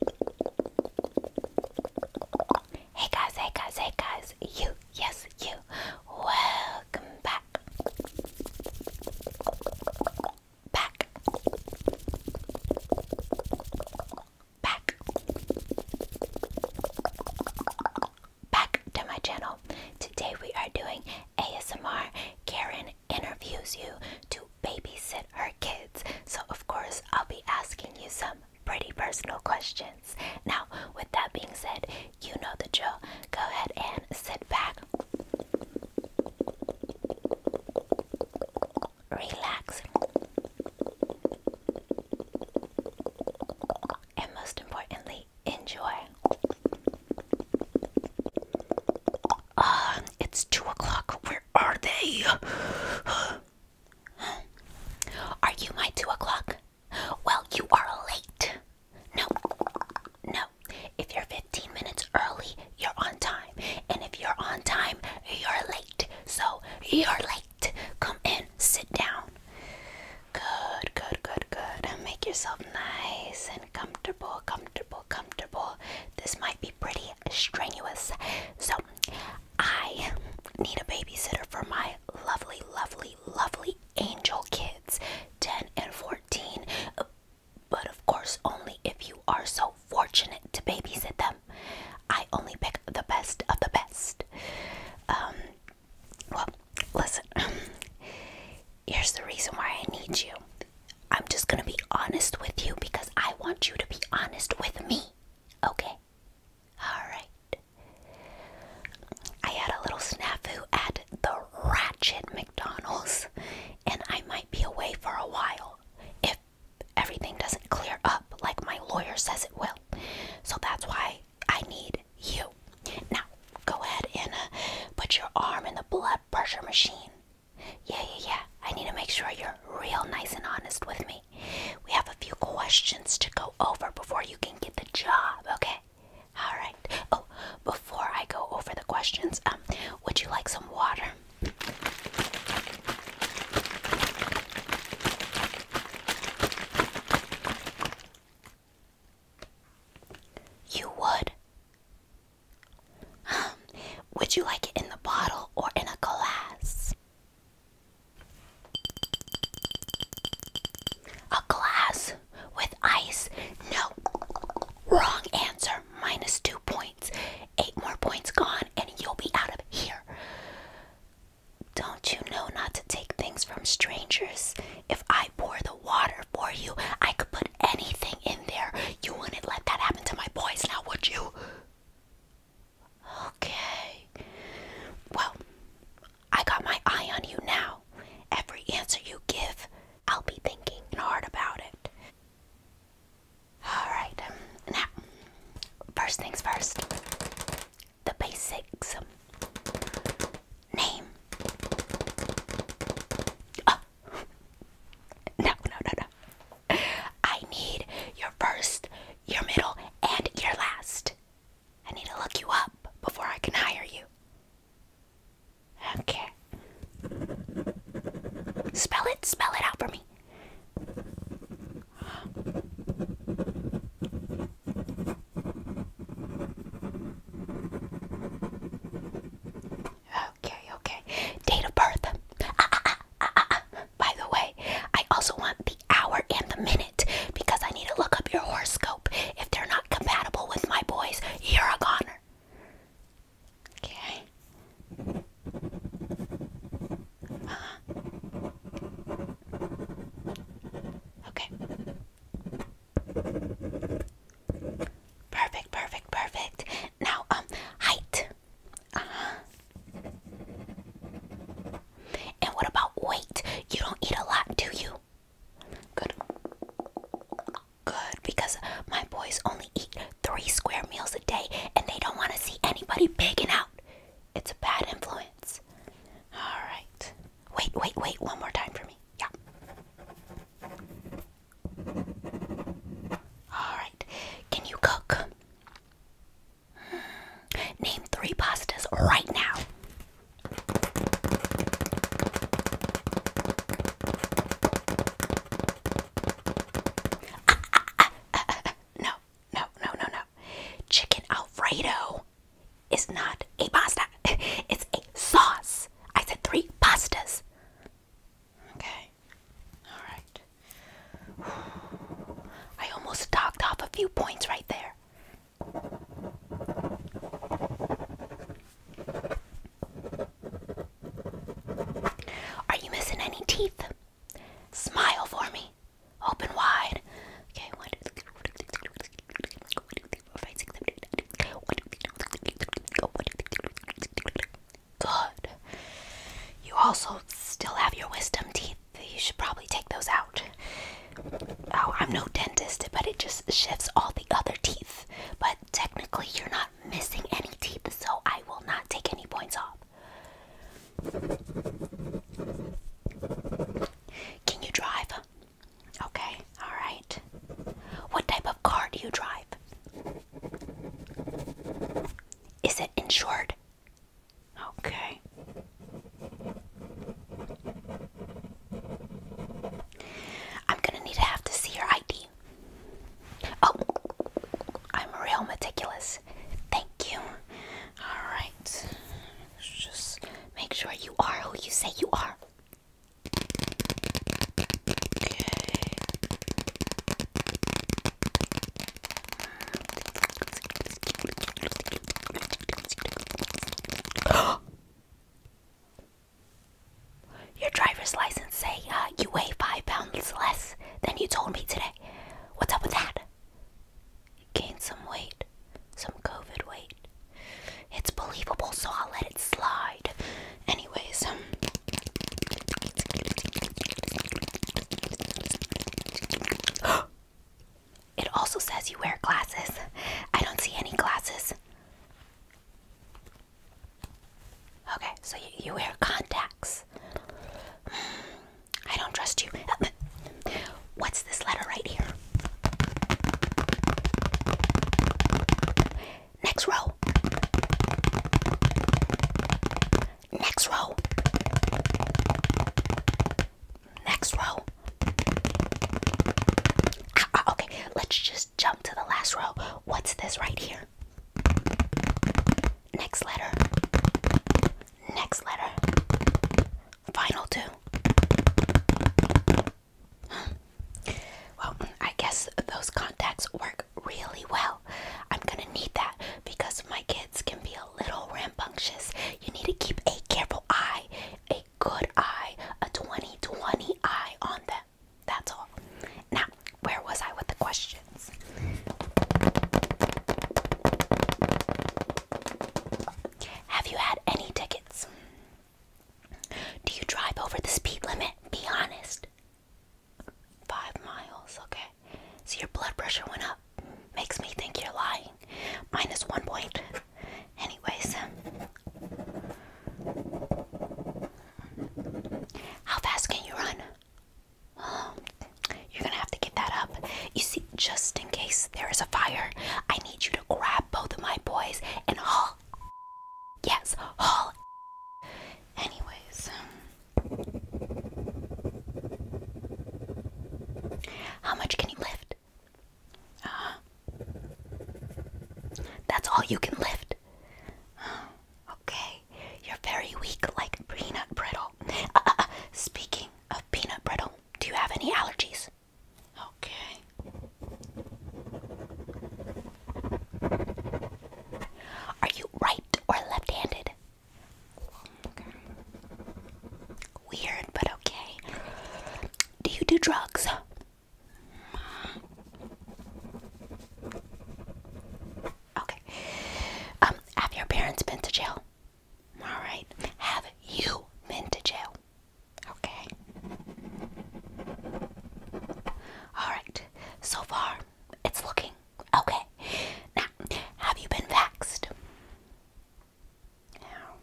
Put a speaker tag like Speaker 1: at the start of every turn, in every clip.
Speaker 1: Hey guys, hey guys, hey guys, you, yes, you, welcome back. Back. Back. Back to my channel. Today we are doing ASMR Karen interviews you to babysit her kids. So, of course, I'll be asking you some pretty personal questions. Now, with that being said, you know the drill. Go ahead and sit back, relax, and most importantly, enjoy. Um, it's two o'clock are they? Are you my two o'clock? Well, you are late. No, no. If you're 15 minutes early, you're on time. And if you're on time, you're late. So you're late. Come in, sit down. Good, good, good, good. And make yourself nice and comfortable, comfortable, comfortable. This might be pretty strenuous. So, I need a babysitter for my lovely, lovely, lovely angel kids 10 and 14. But of course, only if you are so fortunate to babysit them. I only pick the best of the best. Um, well, listen, here's the reason why I need you. I'm just gonna be honest with you because I want you to be honest with me. Okay? Alright. I had a little snafu at the Ratchet McDonald's, and I might be away for a while if everything doesn't clear up like my lawyer says it will. So that's why I need you. Now, go ahead and uh, put your arm in the blood pressure machine. Yeah, yeah, yeah. I need to make sure you're real nice and honest with me. We have a few questions to go over before you can get the job, okay? All right. Oh, before I go over the questions, um, would you like some water? You would? Um, would you like it in the bottle or in a glass? A glass with ice? No. Wrong answer. Minus two points. Eight more points gone, and you'll be out of here. Don't you know not to take things from strangers? If I pour the water for you, I could put anything in there. You wouldn't let that happen to my boys now, would you? Okay. Well, I got my eye on you now. Every answer you give, I'll be thinking hard about it. Alright, um, now, first things first the basics. Name. Oh, no, no, no, no. I need your first, your middle, and your last. I need to look you up before I can hire you. Okay. Spell it, spell it out for me. Okay, okay. Date of birth. Ah, ah, ah, ah, ah, By the way, I also want the hour and the minute because I need to look up your horoscope. If they're not compatible with my boys, you're a goner. Okay. Uh Okay. Perfect, perfect, perfect. Now, um, height. Uh huh. And what about weight? You don't eat a lot, do you? Good. Good, because my boys only eat three square meals a day and they don't want to see anybody begging out. It's a bad influence. All right. Wait, wait, wait. One more time for me. Yeah. Alright, can you cook? Name three pastas right now. Ah, ah, ah, ah, ah, No, no, no, no, no. Chicken Alfredo is not a pasta, it's a sauce. I said three pastas. Okay. All right. I almost docked off a few points right there. Are you missing any teeth? Smile for me. Open wide. Okay, Good. You also still have your wisdom teeth. You should probably take those out. Oh, I'm no dentist, but it just shifts all the other teeth. But technically, you're not missing any teeth, so I will not take any points off. Can you drive? Okay, alright. What type of car do you drive? Is it insured? Okay. I'm gonna need to have to see your ID. Oh, I'm real meticulous. Thank you. Alright. Just make sure you are who you say you are. Okay. Your driver's license says uh, you weigh five pounds less than you told me today. What's up with that? You gained some weight, some COVID weight it's believable, so I'll let it slide. Anyways, um, it also says you wear glasses. I don't see any glasses. Okay, so you, wear contacts. I don't trust you. What's this letter right here? Next row. Next row. Next row. Ah, ah, okay, let's just jump to the last row. What's this right here? Next letter. Next letter. Final two. Well, I guess those contacts work really well. I'm gonna need that because my kids can be a little rambunctious. You need to keep a careful eye, a good eye, a 20 20 eye on them. That's all. Now, where was I with the questions? Have you had any tickets? Do you drive over the speed limit? Be honest. Five miles, okay. So your blood pressure went up. Makes me think you're lying. Minus one point. Anyways. How fast can you run? you're gonna have to get that up. You see, just in case there is a fire, I need you to grab both of my boys and haul Yes, Hall. Anyways, um, how much can you lift? Uh That's all you can lift. Uh, okay, you're very weak, like peanut brittle. Uh, uh, speaking of peanut brittle, do you have any allergies? Okay. Are you right or left handed? Weird, but okay. Do you do drugs? Okay. Um, have your parents been to jail? Alright. Have you been to jail? Okay. Alright, so far it's looking okay. Now, have you been vaxxed? Now,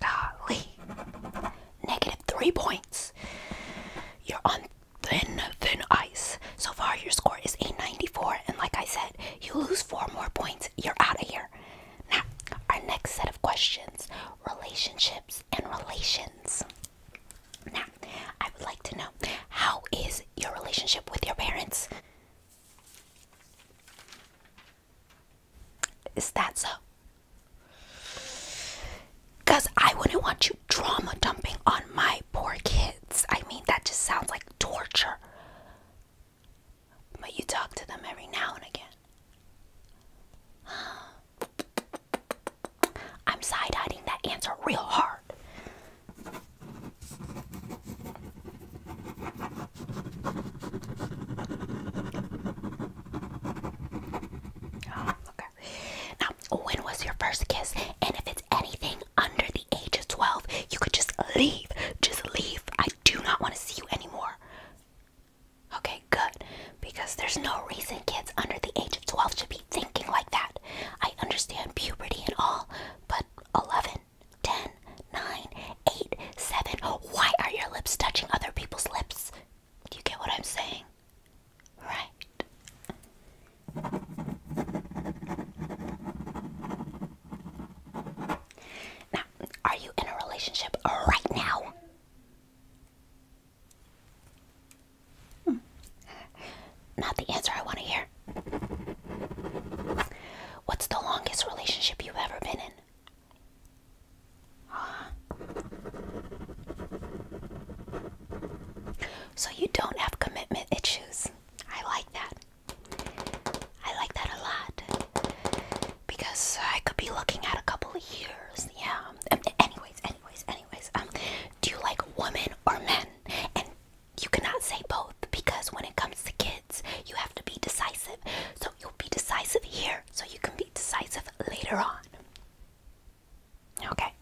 Speaker 1: golly, negative three points. You're on thin, thin ice. So far, your score is eight ninety four. and like I said, you lose four more points, you're out of here. Now, our next set of questions relationships, and relations. Now, I would like to know how is your relationship with your parents? Is that so? Because I wouldn't want you drama dumping on my poor kids. I mean, that just sounds like torture. But you talk to them every now and again. I'm side eyeing that answer real hard. Oh, okay. Now, when was your first kiss? And if it's anything under the age of 12, you could just leave. Just leave. I do not want to see you anymore. Okay, good. Because there's no reason kids under the age of 12 should be thinking like that. I understand puberty and all, but 11, 10, 9, 8, 7. Why are your lips touching other people's lips? Do you get what I'm saying? Right. Now, are you in a relationship right now? Hmm. Not the answer I want to hear. What's the longest relationship you've ever been in? Huh? So you don't have commitment issues. I like that. I like that a lot because I could be looking at a couple of years. Yeah. Um, um, anyways, anyways, anyways. Um, do you like women or men? And you cannot say both because when it comes to kids, you have to be decisive. So you'll be decisive here, so you can be decisive later on. Okay.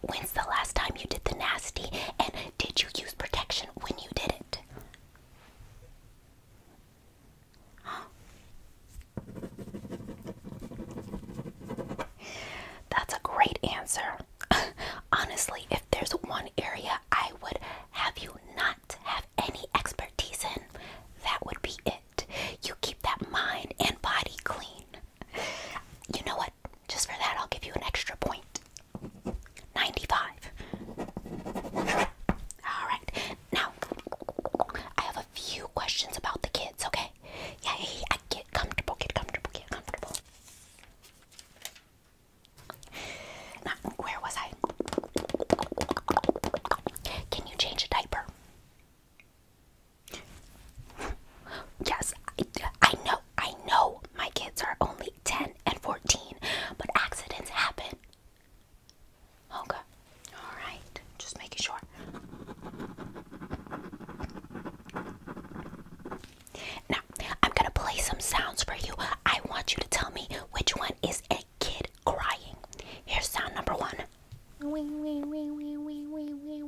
Speaker 1: When's the last time you did the nasty? And did you use protection when you did it? That's a great answer. Honestly, if there's one area I would have you not have any expertise in, that would be it. You keep that mind and body clean. You know what? just for that, I'll give you an extra point. 95. Alright, now I have a few questions about the kids, okay? Yeah, yeah, get comfortable, get comfortable, get comfortable. where was I? Can you change a diaper? Yes, I, I know I know my kids are only 10 and 14, but accidents happen. Okay, alright, just making sure. Now, I'm gonna play some sounds for you. I want you to tell me which one is a kid crying. Here's sound number one. Okay.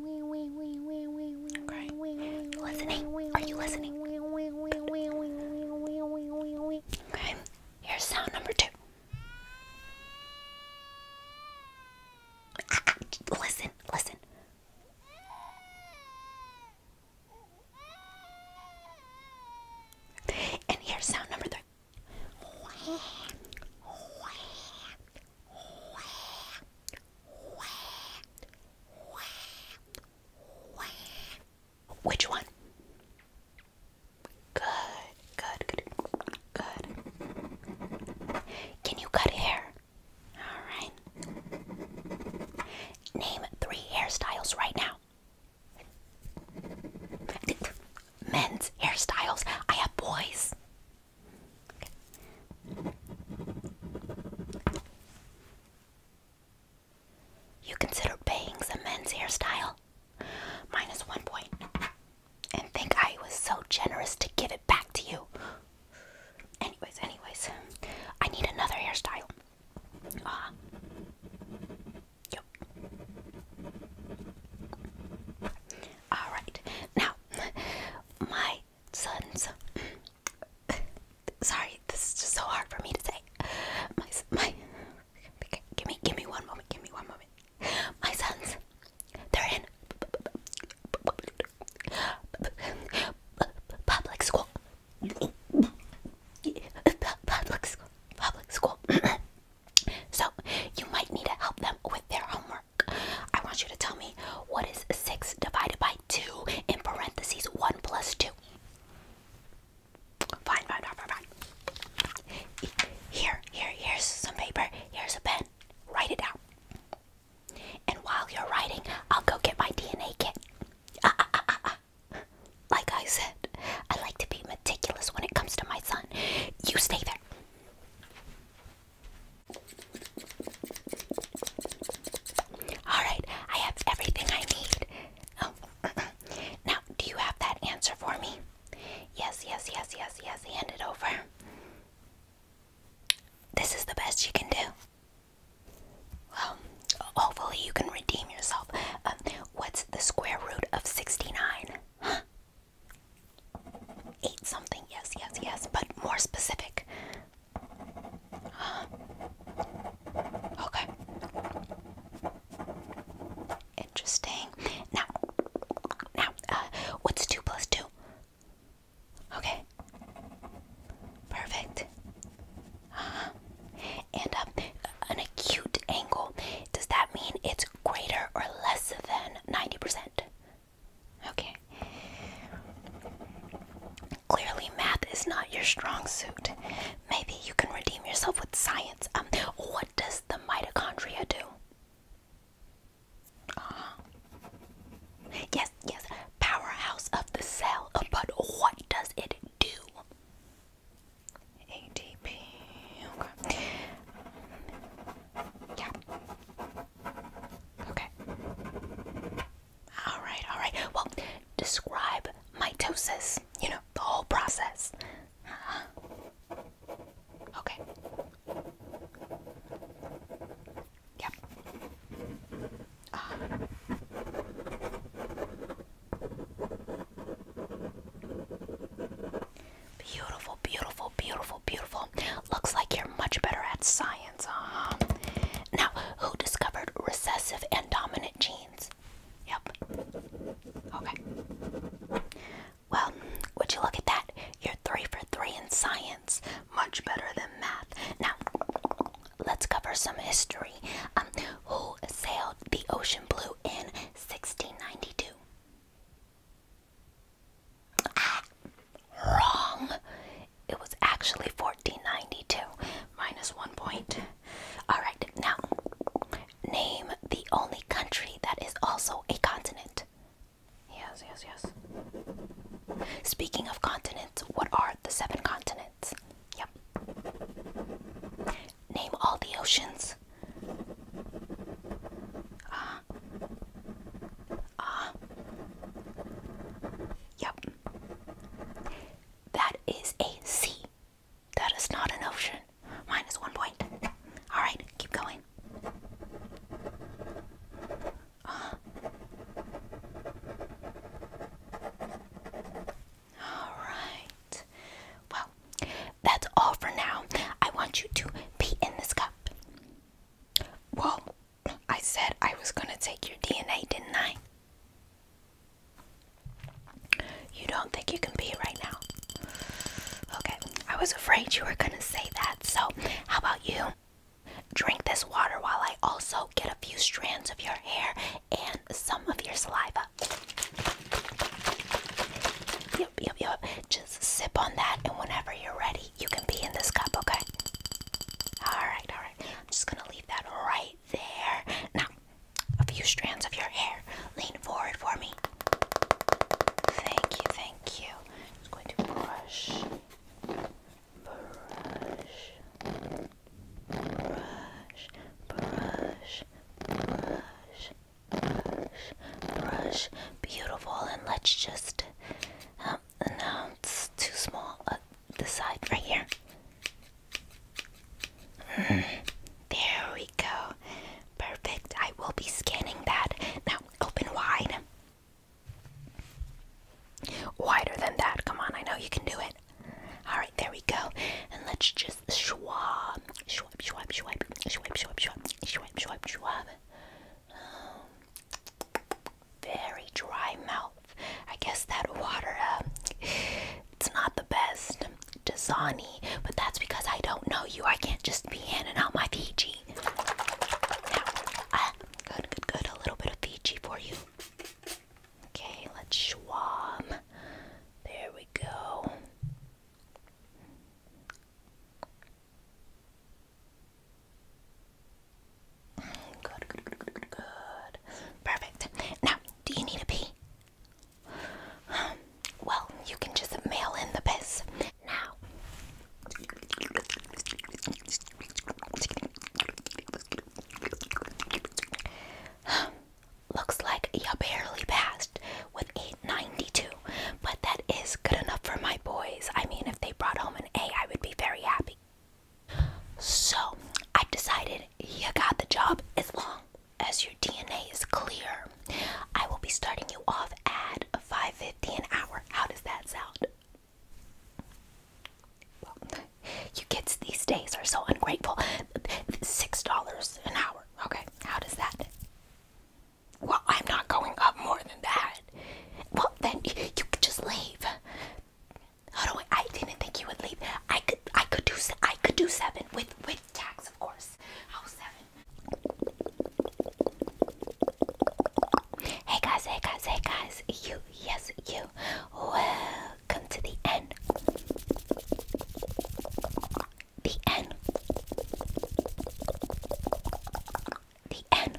Speaker 1: Listening? Are you listening? Good. Okay. Here's sound number two. Listen, listen. And here's sound number three. Which one? Good, good, good, good. Can you cut hair? Alright. Name three hairstyles right now. Men's hairstyles. I have boys. You consider bangs a men's hairstyle? Minus one And think I was so generous to give it back to you. Anyways, anyways, I need another hairstyle. Ah. yep. Alright, now, my sons sorry, this is just so hard for me to say. My, my, give me, give me one moment. Give me one moment. My sons, they're in public school. Public school. Public school. so you might need to help them with their homework. I want you to tell me what is 6 divided by 2 in parentheses 1 plus 2. Fine, fine, fine, fine. Here, here, here's some paper. Here's a pen. Write it out. And while you're writing, I'll go get my DNA kit. Ah, ah, ah, ah, ah. Like I said, I like to be meticulous when it comes to my son. You stay there. Alright, I have everything I need. Oh, now, do you have that answer for me? Yes, yes, yes, yes, yes. Hand it over. This is the best you can do. Well, hopefully, you can redeem yourself. Um, what's the square root of 69? Eat something, yes, yes, yes, but more specific. Okay. Interesting. Now, now, uh, what's two plus two? Okay. Perfect. Uh-huh. And um, an acute angle. Does that mean it's greater or less than 90%? Okay. Clearly, math is not your strong suit. Maybe you can redeem yourself with science. Um, what does the mitochondria do? Uh Yes, yes, powerhouse of the cell. Uh, but what does it do? ATP. Okay. Yeah. Okay. All right, all right. Well, describe mitosis, you know, the whole process. Uh-huh. Okay. Yep. Uh-huh. Beautiful, beautiful, beautiful, beautiful. Looks like you're much better at science. Uh-huh. Now, who discovered recessive and dominant genes? Yep. Okay. Well, would you look at that? You're three for three in science. Much better than math. Now, let's cover some history. Um, who sailed the ocean blue in 1692? wrong. It was actually fourteen ninety two minus one point. All right, now name the only country that is also a continent. Yes, yes, yes. Speaking of continents, what are the seven continents? Yep. Name all the oceans. Uh, Ah. Yep. That is a sea. That is not an ocean. Minus one point. Alright, keep going. Uh. Alright. Well, that's all for now. I want you to pee in this cup. Well, I said I was gonna take your DNA, didn't I? You don't think you can pee right now? Okay, I was afraid you were gonna say that, so how about you? Drink this water while I also get a few strands of your hair and some of your saliva. Yep, yep, yep. Just just sip on that, and whenever you're ready, you can be in this cup, okay? Alright, alright. I'm just gonna leave that right there. Now, a few strands of your hair. Lean forward for me. Thank you, thank you. i going to brush, brush, brush, brush, brush, brush, brush. Beautiful, and let's just um, no, uh, it's too small. Uh, the side right here. Mm, there we go. Perfect. I will be scanning that. Now, open wide. Wider than that. Come on, I know you can do it. Alright, there we go. And let's just schwab. Schwab, schwab, schwab. Schwab, schwab, schwab. Schwab, schwab, schwab very dry mouth. I guess that water, uh, it's not the best. Desani. but that's because I don't know you. I can't just be handing out my Fiji. Now, uh, good, good, good. A little bit of Fiji for you. Okay, let's schwam. There we go. Good, good, good, good, good, Perfect. Now, do you need a pee? Um, well, you can just mail in the piss now. Um, looks like you barely passed with 892. But that is good enough for my boys. I mean, if they brought home an A, I would be very happy. So I have decided you got the job as long as your DNA is clear. I will be starting you off at 5.50 an hour. How does that sound? you kids these days are so ungrateful. $6 an hour. Okay, how does that? Well, I'm not going up more than that. Well, then you could just leave. How do I? I didn't think you would leave. I could, I could do, I could do seven with with tax, of course. How seven? Hey guys, hey guys, hey guys. You, yes, you. Welcome to the end. The N. The end.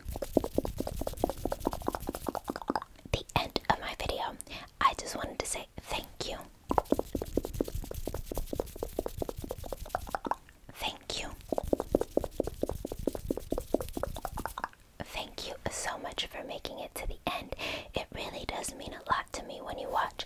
Speaker 1: The end of my video. I just wanted to say thank you. Thank you. Thank you so much for making it to the end. It really does mean a lot to me when you watch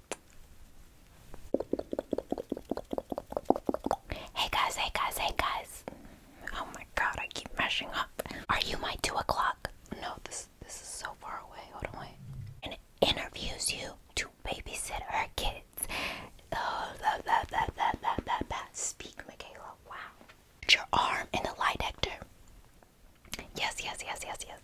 Speaker 1: Hey guys, hey guys, hey guys. Oh my god, I keep mashing up. Are you my two o'clock? No, this this is so far away. Hold on, And it interviews you to babysit her kids. Oh, that, that, that, that, that, that, that. Speak, Michaela. Wow. Put your arm in the light, Hector. Yes, yes, yes, yes, yes.